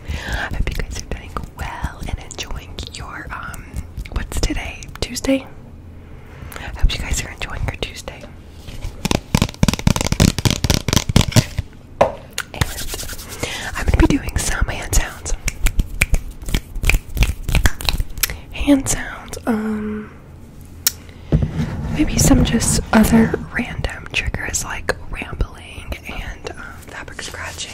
I hope you guys are doing well and enjoying your um what's today? Tuesday? I hope you guys are enjoying your Tuesday. I'm gonna be doing some hand sounds. Hand sounds, um maybe some just other random um, triggers like rambling and um, fabric scratching.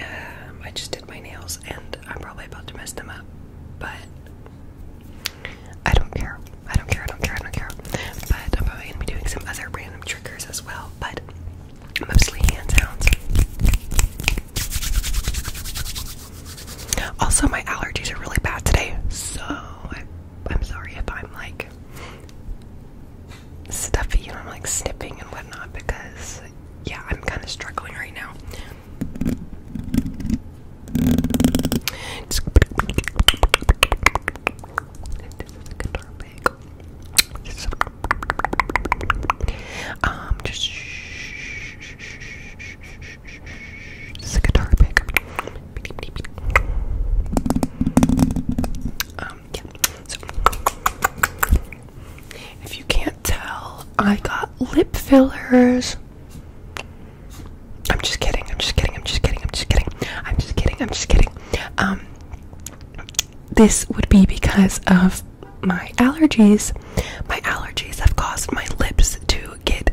Um, I just did my nails and I'm probably about to mess them up, but I don't care. I don't care. I don't care. I don't care. But I'm probably gonna be doing some other random triggers as well, but mostly hand sounds. Also, my allergies are really bad today, so I I'm sorry if I'm like stuffy and I'm like snipping and whatnot because yeah, I'm kind of struggling right now. Um, this a guitar pick. Um, yeah. So, if you can't tell, I got lip fillers. I'm just kidding. I'm just kidding. I'm just kidding. I'm just kidding. I'm just kidding. I'm just kidding. Um, this would be because of my allergies. My allergies have caused my lips to get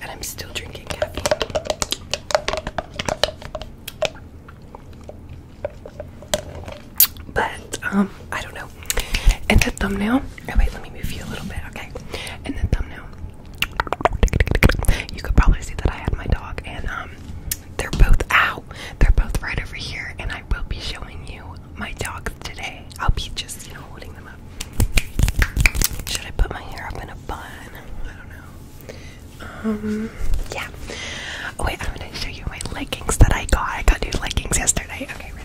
and I'm still drinking caffeine. But um, I don't know. And the thumbnail, oh wait, let me move you a little bit, okay? And the thumbnail, you could probably see that I have my dog, and um, they're both out. They're both right over here, and I will be showing you my dogs today. I'll be just, you know, holding them up. Should I put my hair up in a bun? I don't know. Um, yeah. Oh, wait, I'm gonna show you my leggings that I got. I got new leggings yesterday. Okay, ready?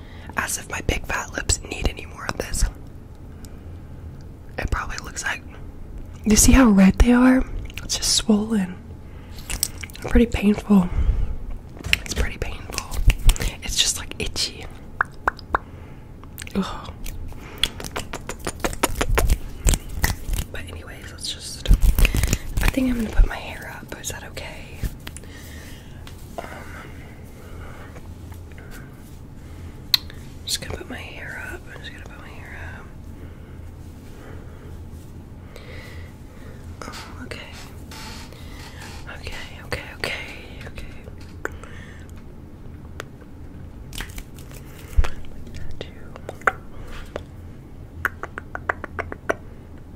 As if my big fat lips need any more of this. It probably looks like. You see how red they are? It's just swollen. Pretty painful. It's pretty painful. It's just like itchy. Ugh. But anyways, let's just. I think I'm gonna put my hair up. Is that okay? Um, I'm just gonna put my hair up. just gonna put my hair up. okay. Okay, okay, okay, okay.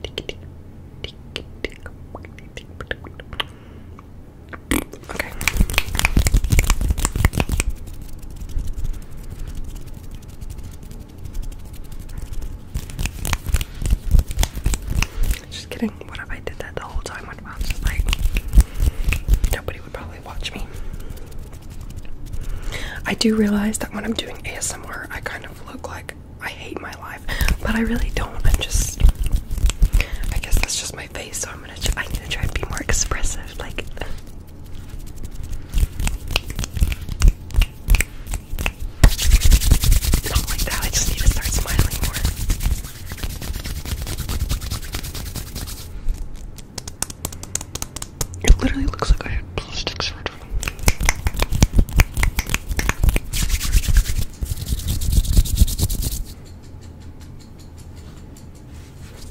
Okay. Just kidding. What if I did that the whole time? What if like, nobody would probably watch me. I do realize that when I'm doing ASMR, I kind of look like I hate my life, but I really don't. I'm just, I guess that's just my face. So I'm gonna, I'm to try to be more expressive, like. Not like that, I just need to start smiling more. It literally looks like I had plastic surgery.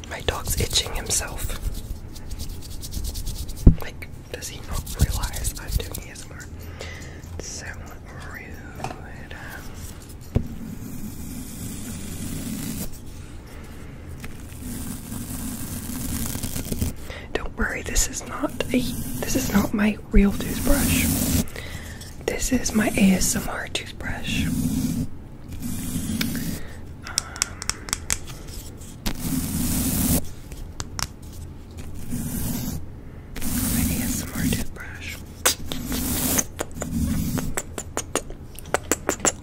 My dog's itching himself. Like, does he not realize I'm doing ASMR? So rude. Don't worry, this is not a this is not my real toothbrush. This is my ASMR toothbrush. my um, ASMR toothbrush.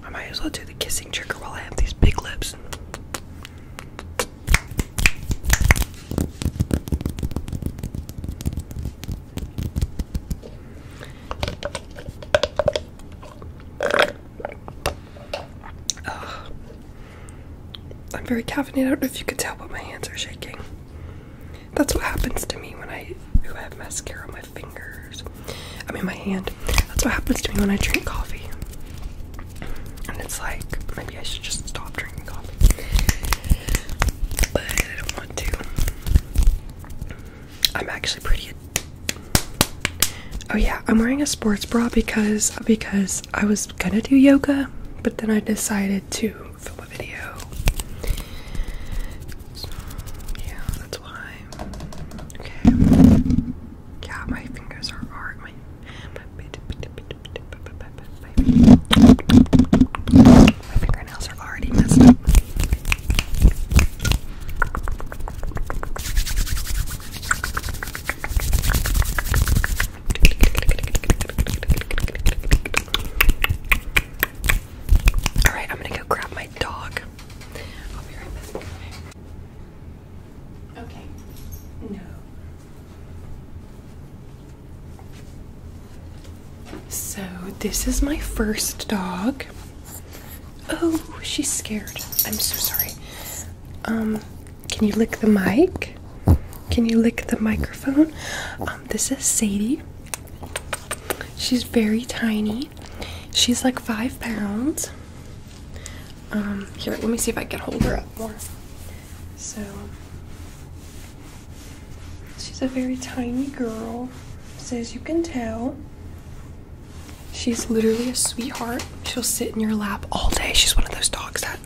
I might as well do the kissing trigger while I have these big lips. Uh, I'm very caffeinated. I don't know if you could tell, but my hands are shaking. That's what happens to me when I have mascara on my fingers. I mean, my hand. That's what happens to me when I drink coffee. And it's like, maybe I should just stop drinking coffee. But I don't want to. I'm actually pretty. Oh yeah, I'm wearing a sports bra because because I was gonna do yoga, but then I decided to film a video. So yeah, that's why. Okay. Yeah, my fingers are hard. My fingernails are already messed up. Alright, I'm gonna go grab my dog. Okay. No. So, this is my first dog. Oh, she's scared. I'm so sorry. Um, can you lick the mic? Can you lick the microphone? Um, this is Sadie. She's very tiny. She's like five pounds. Um, here, let me see if I can hold her up more. So, she's a very tiny girl, so as you can tell, she's literally a sweetheart. She'll sit in your lap all day. She's one of those dogs that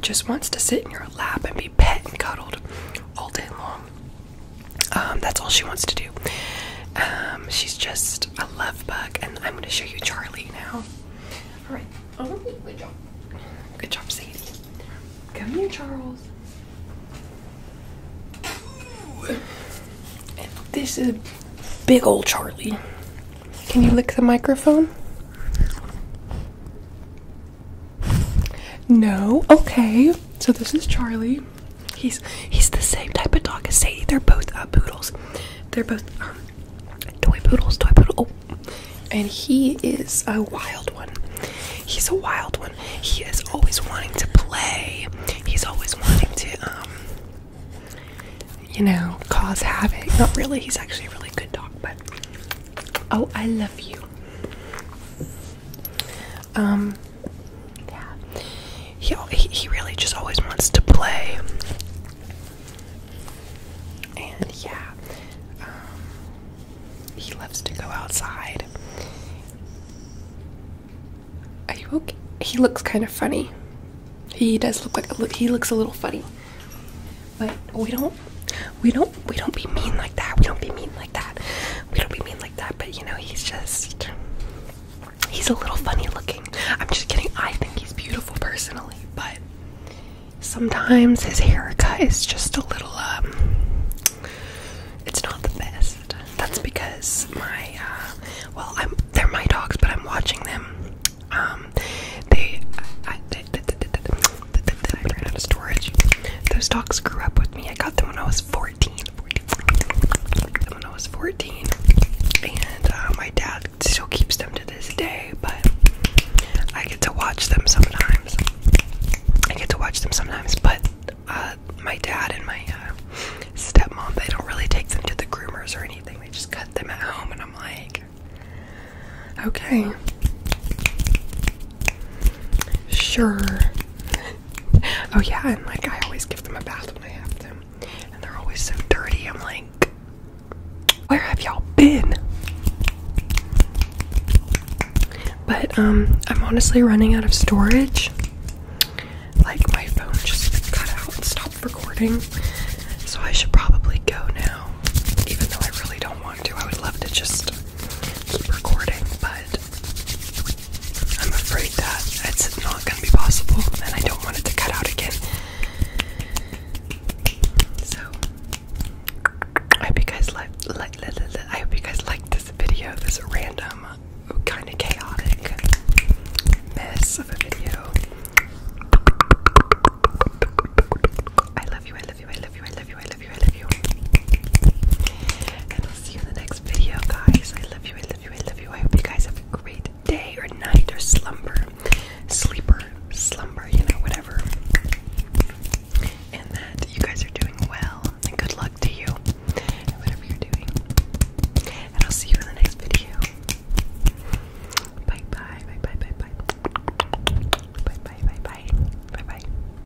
just wants to sit in your lap and be pet and cuddled all day long. Um, that's all she wants to do. Um, she's just a love bug, I'm gonna show you Charlie now. All right. Oh, good job. Good job, Sadie. Come here, Charles. this is big old Charlie. Can you lick the microphone? No. Okay. So this is Charlie. He's he's the same type of dog as Sadie. They're both uh, poodles. They're both uh, toy poodles, toy poodle. Oh. And he is a wild one. He's a wild one. He is always wanting to play. He's always wanting to um you know, cause havoc. Not really. He's actually a really good dog, but oh, I love you. Um yeah. He he really just always wants to play. And yeah, um, he loves to go outside. Are you okay? He looks kind of funny. He does look like he looks a little funny, but we don't we don't we don't be mean like that. We don't be mean like that. We don't be mean like that. But you know, he's just He's a little funny looking. I'm just kidding. I think he's beautiful personally, but sometimes his haircut is just a little um it's not the best. That's because my uh well, I'm they're my dogs, but I'm watching them. Um they I I ran out of storage. Those dogs grew up with me. I got them when I was 14 when I was 14, and uh, my dad still keeps them to this day, but I get to watch them sometimes. I get to watch them sometimes, but uh, my dad and my uh, stepmom, they don't really take them to the groomers or anything. They just cut them at home, and I'm like, okay. Sure oh yeah, and like I always give them a bath when I have them, and they're always so dirty. I'm like, where have y'all been? But um, I'm honestly running out of storage. Like my phone just cut out and stopped recording, so I should probably go now. Even though I really don't want to, I would love to just keep recording, but I'm afraid that it's not going to be possible, and I don't want it to cut out again. So, I hope you guys like. I hope you guys liked this video. This random, kind of chaotic mess of a video. I love you. I love you. I love you. I love you. I love I love you. And I'll see you in the next video, guys. I love you, I love you, I love you. I hope you guys have a great day or night or slumber, sleeper, slumber, you know, whatever. And that you guys are doing well. And good luck to you, whatever you're doing. And I'll see you in the next video. Bye bye, bye bye, bye bye. Bye bye, bye bye, bye bye.